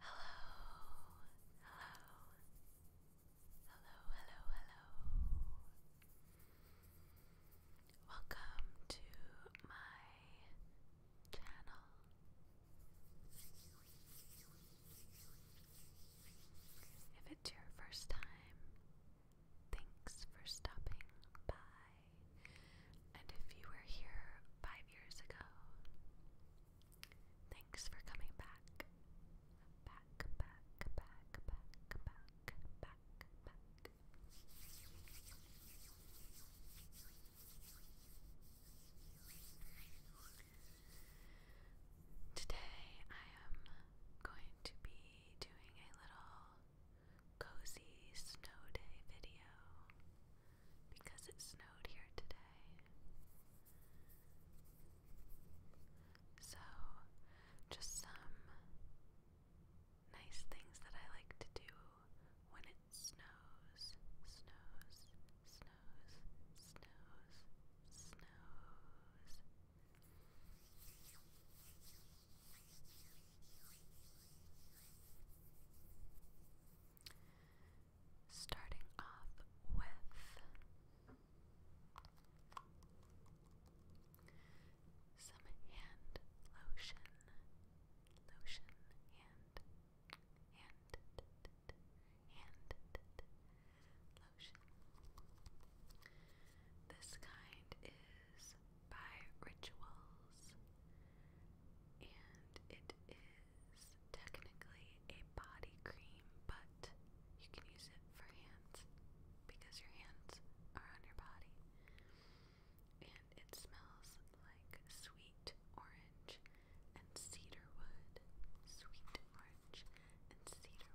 Hello, hello, hello, hello, hello. Welcome to my channel. If it's your first time, thanks for stopping by. And if you were here five years ago, thanks for coming back. Back, back, back, back, back, back, back. Today I am going to be doing a little cozy snow day video because it snowed here today. So, just some nice things that I like to do when it snows, snows, snows, snows, snows. Starting off with some hand lotion, lotion, hand, hand, hand, lotion. This kind is by rituals, and it is technically a body cream, but you can use it for hands because your hands are on your body. And it smells like sweet orange and cedarwood. Sweet orange and cedar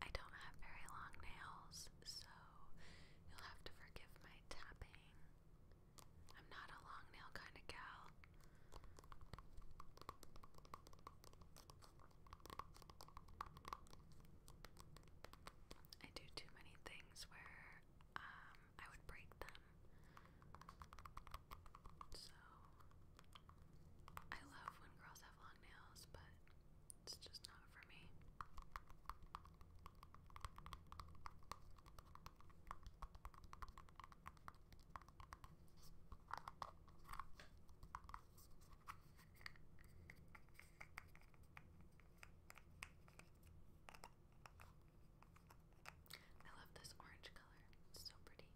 I don't have very long nails, so you'll have to forgive my tapping. I'm not a long nail kind of gal. I do too many things where um, I would break them. So I love when girls have long nails, but it's just not for me. I love this orange color, it's so pretty.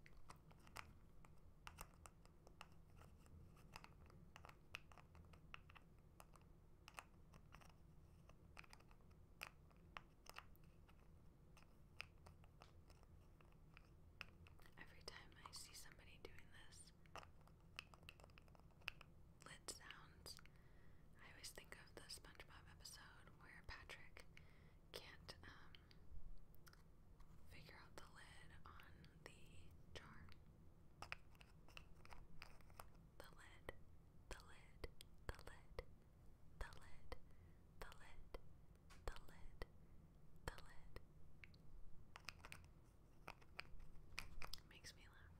Every time I see somebody doing this lid sounds, I always think of the SpongeBob episode where Patrick can't um, figure out the lid on the jar. The lid, the lid, the lid, the lid, the lid, the lid, the lid. Makes me laugh.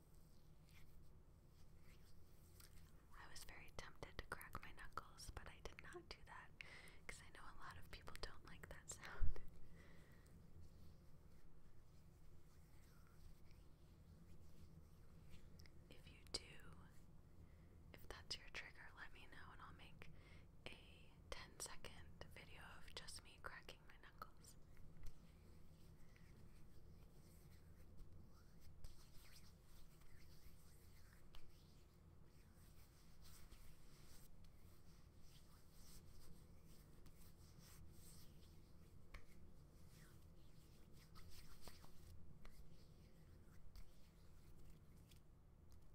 I was very tempted to crack my knuckles, but I did not do that because I know a lot of people don't like that sound. if you do, if that's your trigger, let me know and I'll make a 10 second video of just me cracking my knuckles.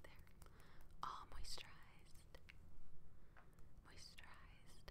There. All moisturized. Moisturized.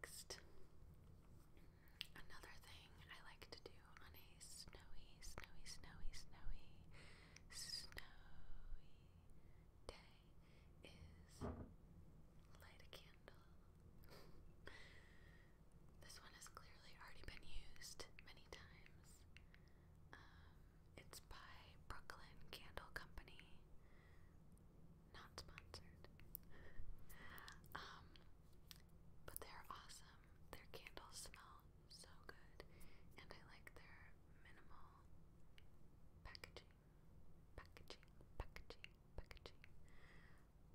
Next, another thing I like to do on a snowy, snowy, snowy, snowy, snowy day is light a candle. this one has clearly already been used many times. Um, it's by Brooklyn Candle Company not sponsored. um, but they're awesome. Their candles smell so good, and I like their minimal packaging. Packaging, packaging, packaging,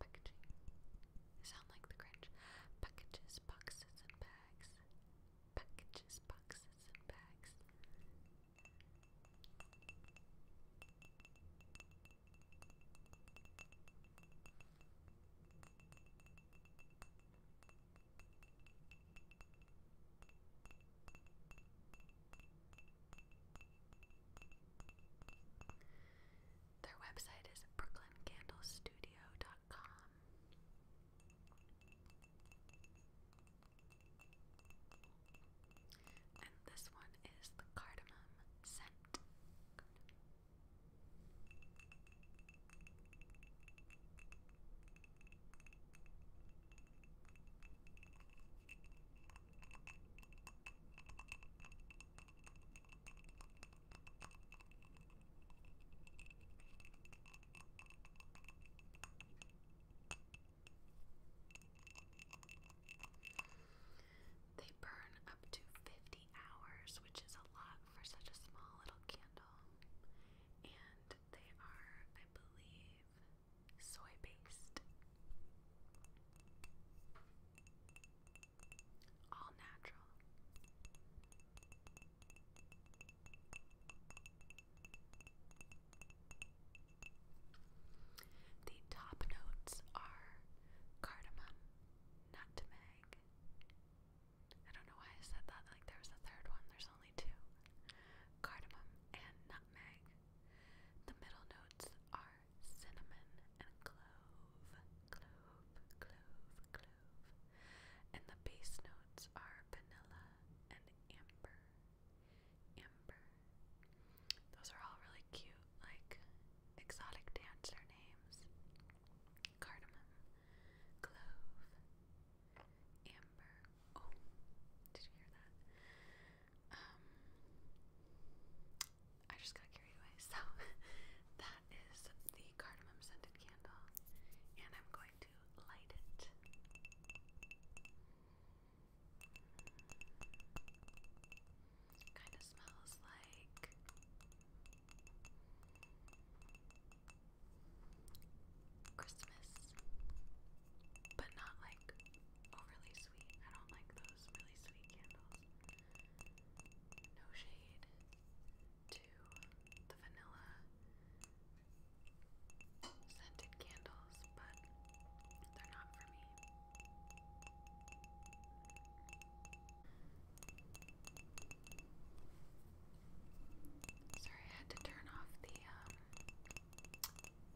packaging. They sound like the Grinch. Packages, boxes, and bags. Packages, boxes, and bags. Their website is brooklyncandlestudio.com. And this one is the cardamom scent. They burn up to 50 hours, which is a lot for such a small little candle. And they are, I believe, soy based. All natural. The top notes are cardamom, nutmeg. I don't know why I said that, like there was a third one, there's only two. Cardamom and nutmeg. The middle notes are cinnamon and clove, clove, clove, clove. And the base notes are vanilla and amber. Amber. Those are all really cute, like exotic dancer names. Cardamom, Clove, Amber. Oh, did you hear that? Um, I just got carried away. So that is the cardamom scented candle, and I'm going to light it. Kind of smells like Christmas, but not like overly sweet. I don't like those really sweet candles. No shade to the vanilla scented candles, but they're Sorry, I had to turn off the um,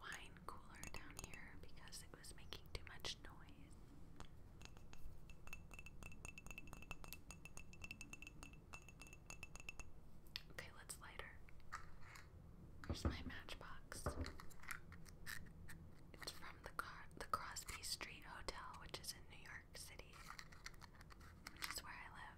wine cooler down here because it was making too much noise. Okay, let's light Here's my matchbox. It's from the Car the Crosby Street Hotel, which is in New York City, which where I live.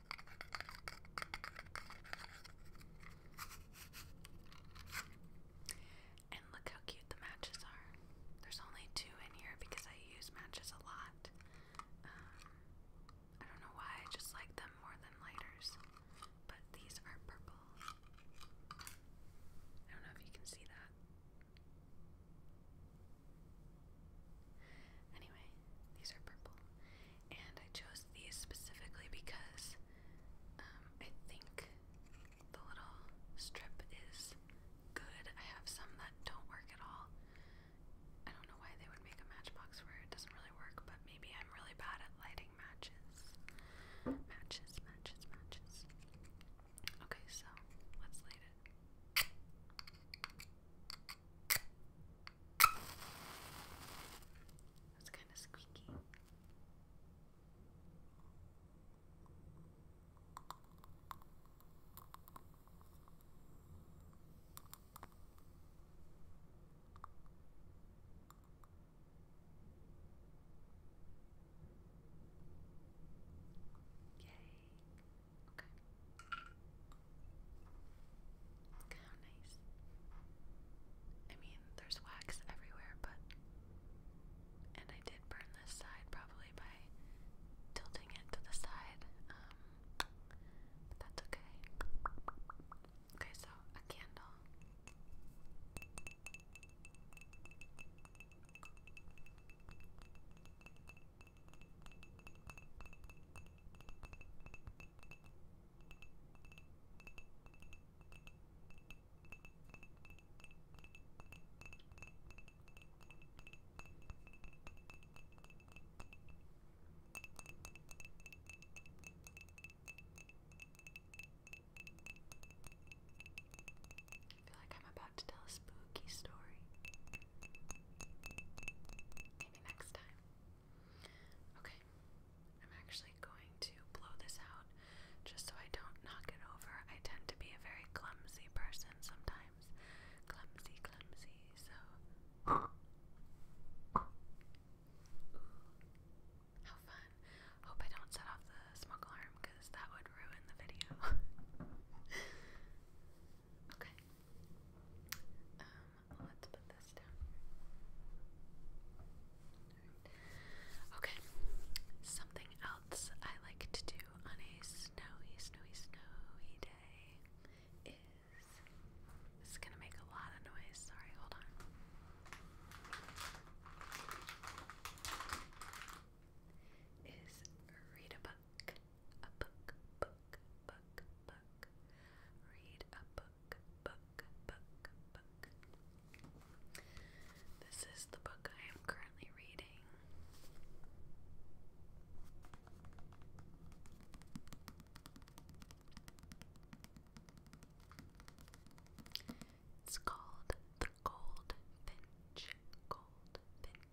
And look how cute the matches are. There's only two in here because I use matches a lot. Um, I don't know why, I just like them more than lighters. But these are purple. I don't know if you can see that. Anyway, these are purple. And I chose these specifically because um, I think the little strip is good. I have some that don't work at all. I don't know why they would make a matchbox where it doesn't really work, but maybe I'm really bad at lighting matches. Matches, matches, matches. Okay, so let's light it. That's kind of squeaky. Yay. Okay. Look nice. I mean, there's wax everywhere, but. And I did burn this side probably by tilting it to the side. Um, but that's okay. Okay, so a candle. I feel like I'm about to tell a spooky story. Maybe next time. Okay, I'm actually going to blow this out just so I don't knock it over. I tend to be a very clumsy person sometimes. Clumsy, clumsy, so. how fun. Hope I don't set off the smoke alarm because that would ruin the video. Okay. Um, let's put this down Okay. Something else I like to do on a snowy, snowy, snowy day is this is gonna make a lot of noise. Sorry, hold on. Is read a book a book, book, book, book. Read a book, book, book, book. This is the book I am currently reading. It's called The Goldfinch. Goldfinch.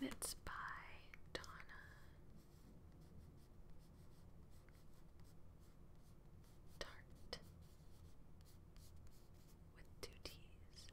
And it's by Donna. Tart with two T's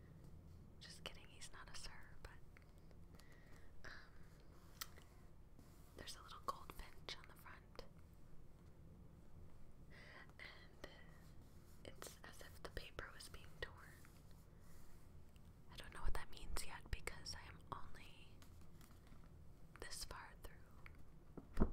just kidding, he's not a sir, but um, there's a little goldfinch on the front. And it's as if the paper was being torn. I don't know what that means yet because I am only this far through.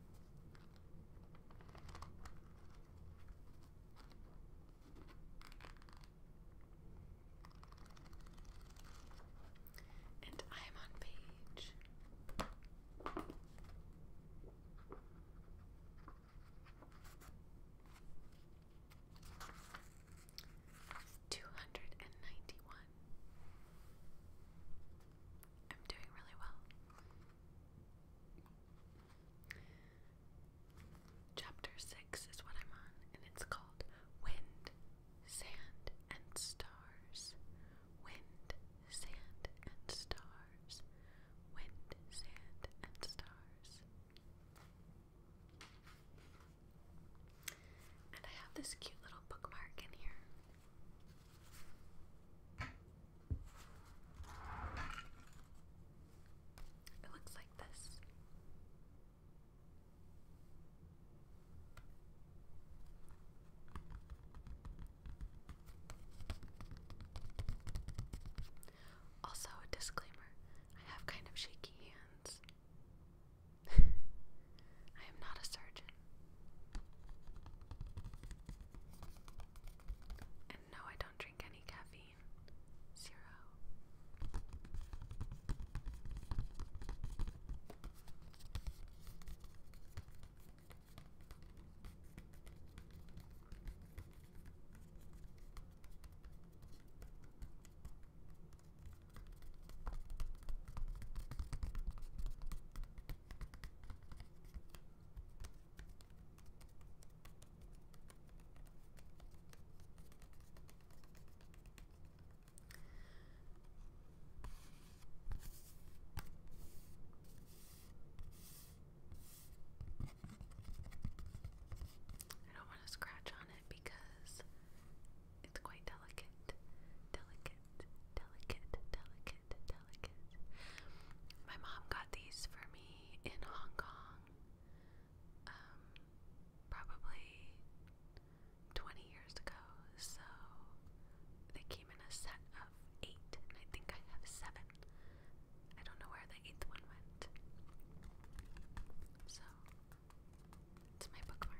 And I am on page. Two hundred and ninety one. I'm doing really well. Chapter 6 is what I'm on, and it's called Wind, Sand, and Stars. Wind, Sand, and Stars. Wind, Sand, and Stars. And I have this cute little bookmark in here. It looks like this. Also, disclaimer I have kind of shaky hands. I am not a surgeon. And no, I don't drink any caffeine. Zero. I don't want to scratch on it because it's quite delicate. Delicate, delicate, delicate, delicate. My mom got these for me in Hong Kong um, probably 20 years ago. So they came in a set of eight, and I think I have seven. I don't know where the eighth one went. So it's my bookmark.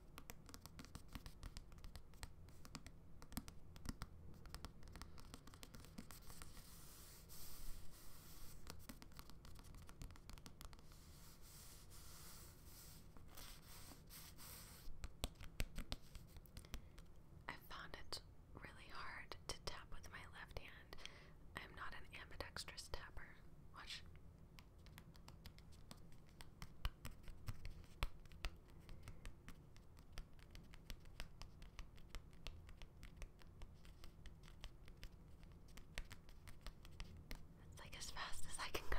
I found it really hard to tap with my left hand. I'm not an ambidextrous tapper. Watch. That's like as fast as I can go.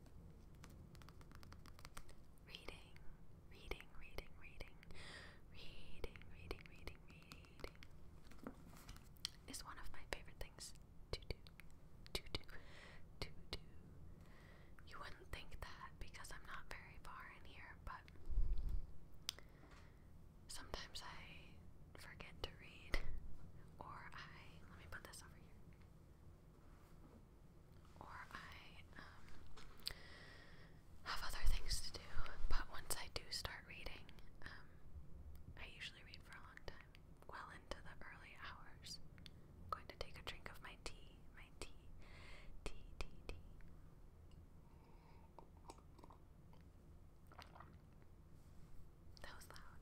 Reading, reading, reading, reading, reading, reading, reading, reading is one of my favorite things to do. To do, to do. You wouldn't think that because I'm not very far in here, but sometimes I forget to read, or I. Let me put this over here or I um, have other things to do. But once I do start reading, um, I usually read for a long time, well into the early hours. I'm going to take a drink of my tea, my tea, tea, tea, tea. That was loud.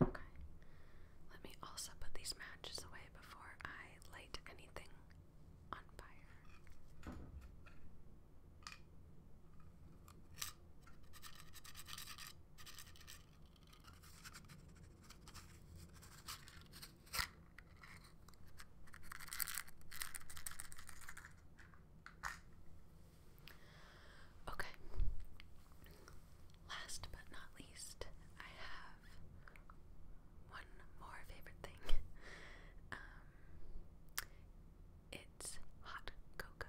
Okay. Let me also put these matches away before I light anything on fire. Okay. Last but not least, I have one more favorite thing. Um, it's hot cocoa.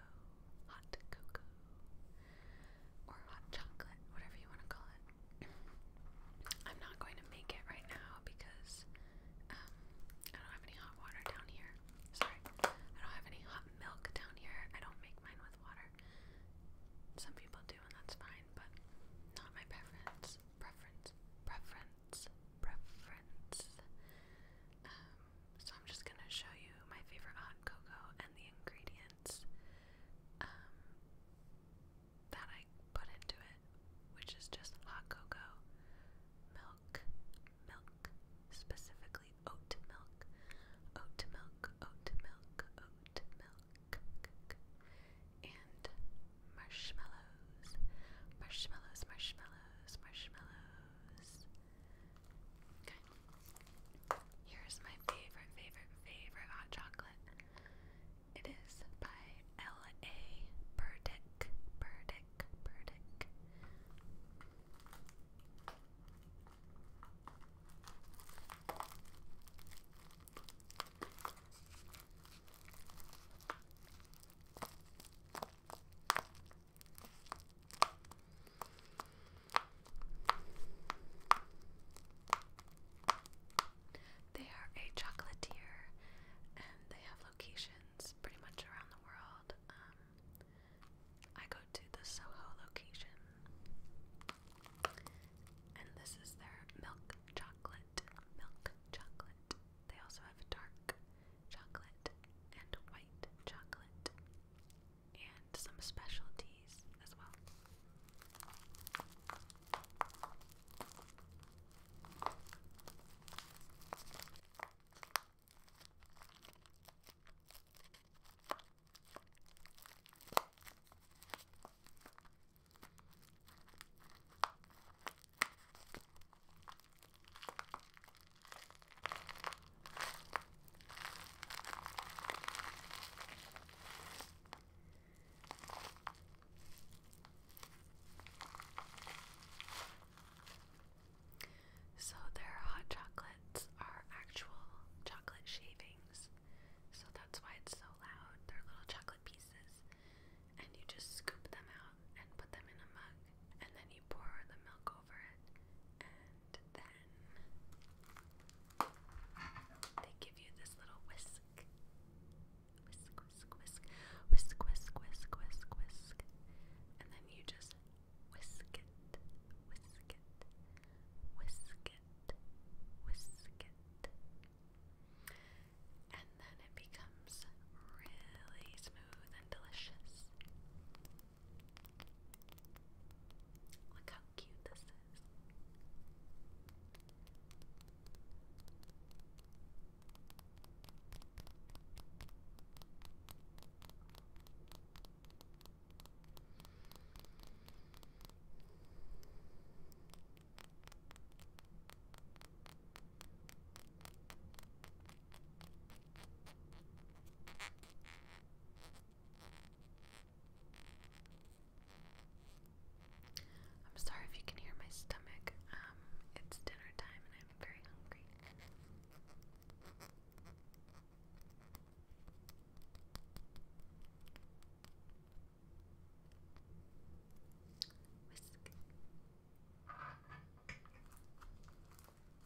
Hot cocoa or hot chocolate, whatever you want to call it. I'm not going to make it right now because um, I don't have any hot water down here. Sorry, I don't have any hot milk down here. I don't make mine with water. Some people do, and that's fine, but not my preference. Preference, preference, preference. Um, so I'm just gonna show you my favorite hot cocoa and the ingredients um, that I put into it, which is just hot cocoa, milk, milk, specifically oat milk, oat milk, oat milk, oat milk, and marshmallows, marshmallows, marshmallows, marshmallows. Okay. Here's my favorite, favorite, favorite hot chocolate. It is by L.A. Burdick. Burdick. Burdick. They are a chocolatier and they have locations pretty much around the world. Um, I go to the Soho location, and this is their milk chocolate. Milk chocolate. They also have dark chocolate and white chocolate and some specialties as well. So, their hot chocolates are actual chocolate shavings. So, that's why it's so loud. They're little chocolate pieces. And you just scoop them out and put them in a mug. And then you pour the milk over it. And then they give you this little whisk. Whisk, whisk, whisk. Whisk, whisk, whisk, whisk, whisk. And then you just whisk it. Whisk it. Whisk it. Whisk it. And then it becomes really smooth and delicious. Look how cute this is. I'm sorry if you can hear my stomach. Um, it's dinner time and I'm very hungry. Whisk.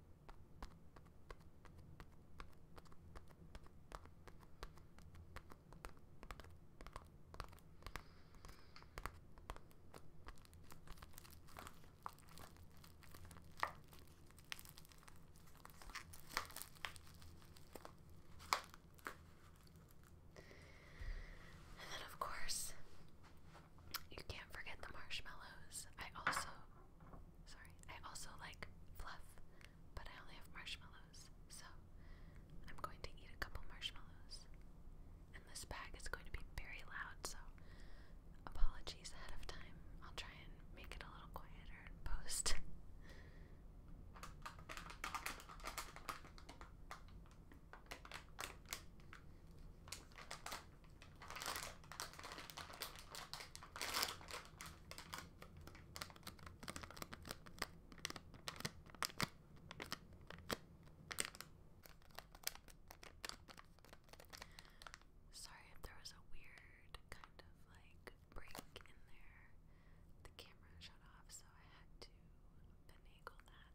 And then, of course, you can't forget the marshmallows. I also, sorry, I also like fluff, but I only have marshmallows, so I'm going to eat a couple marshmallows. And this bag is going to be very loud, so apologies ahead of time. I'll try and make it a little quieter post. Sorry if there was a weird kind of like break in there. The camera shut off, so I had to finagle that.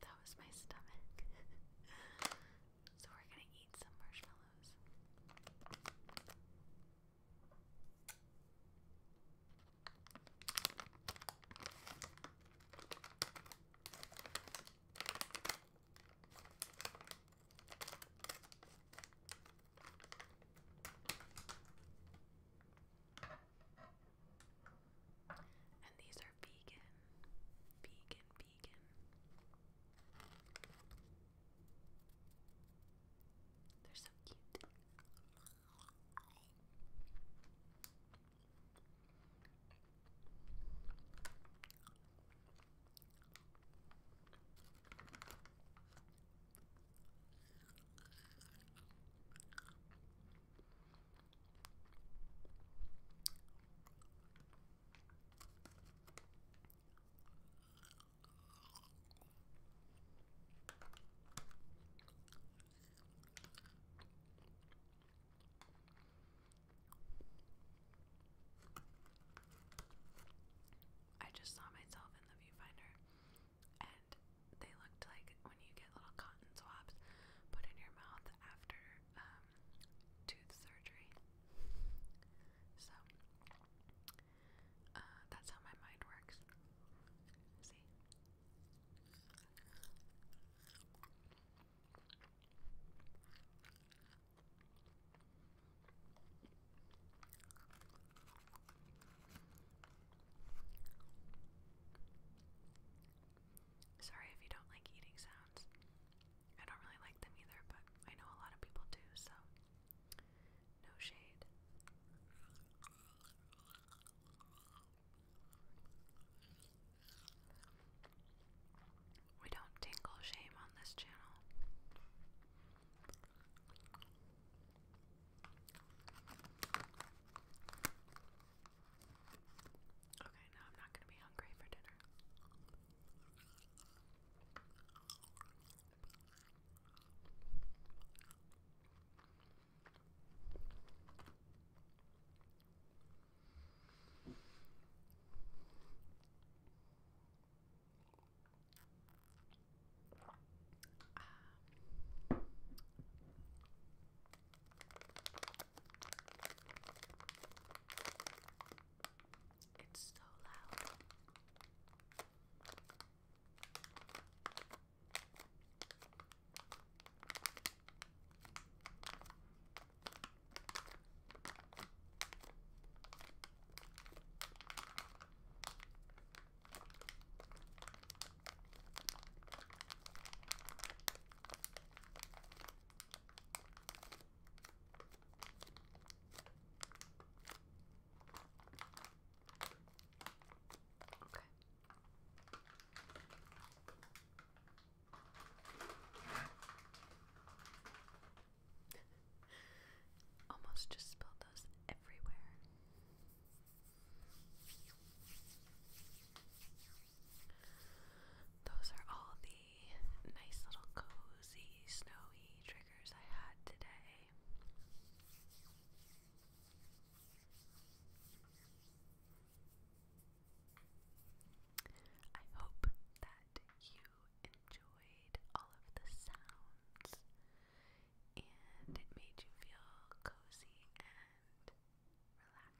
That was my stomach. so we're gonna eat some marshmallows. And these are vegan, vegan, vegan. They're so cute. I just saw myself in the viewfinder and they looked like when you get little cotton swabs put in your mouth after um, tooth surgery. So uh, that's how my mind works. See. Sorry if you don't like eating sounds. I don't really like them either, but I know a lot of people do, so no shade. We don't tingle shame on this channel. Okay, now I'm not gonna be hungry for dinner. Um, it's so loud. Almost just spilled those everywhere. Those are all the nice little cozy, snowy triggers I had today. I hope that you enjoyed all of the sounds and it made you feel cozy and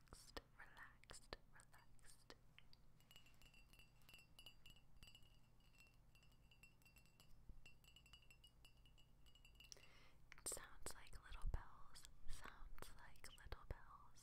relaxed, relaxed, relaxed. It sounds like little bells, sounds like little bells.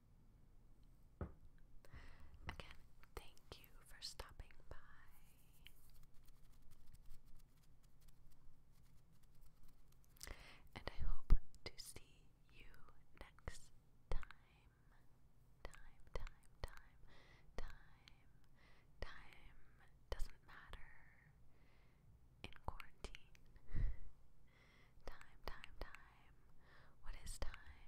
Again, thank you for stopping by. And I hope to see you next time. Time, time, time, time, time doesn't matter in quarantine. time, time, time. What is time?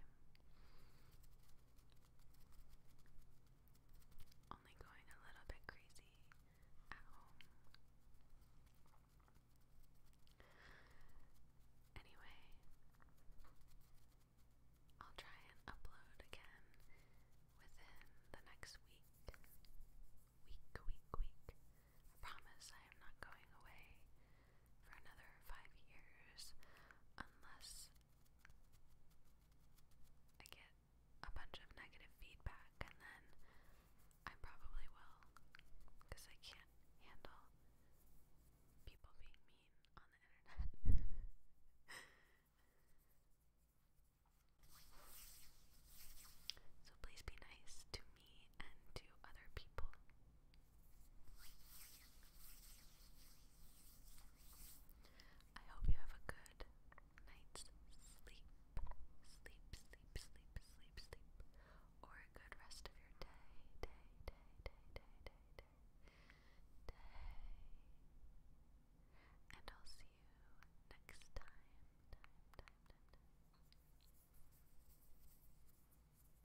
Only going a little bit crazy at home. Anyway, I'll try and upload again within the next week. Week, week, week. promise I am not going away for another five years unless I get a bunch of negative feedback, and then I probably will because I can't handle people being mean on the internet. so please be nice to me and to other people. I hope you have a good night's sleep. Sleep, sleep, sleep, sleep, sleep. Or a good rest of your day, day, day, day, day, day, day, And I'll see you next time.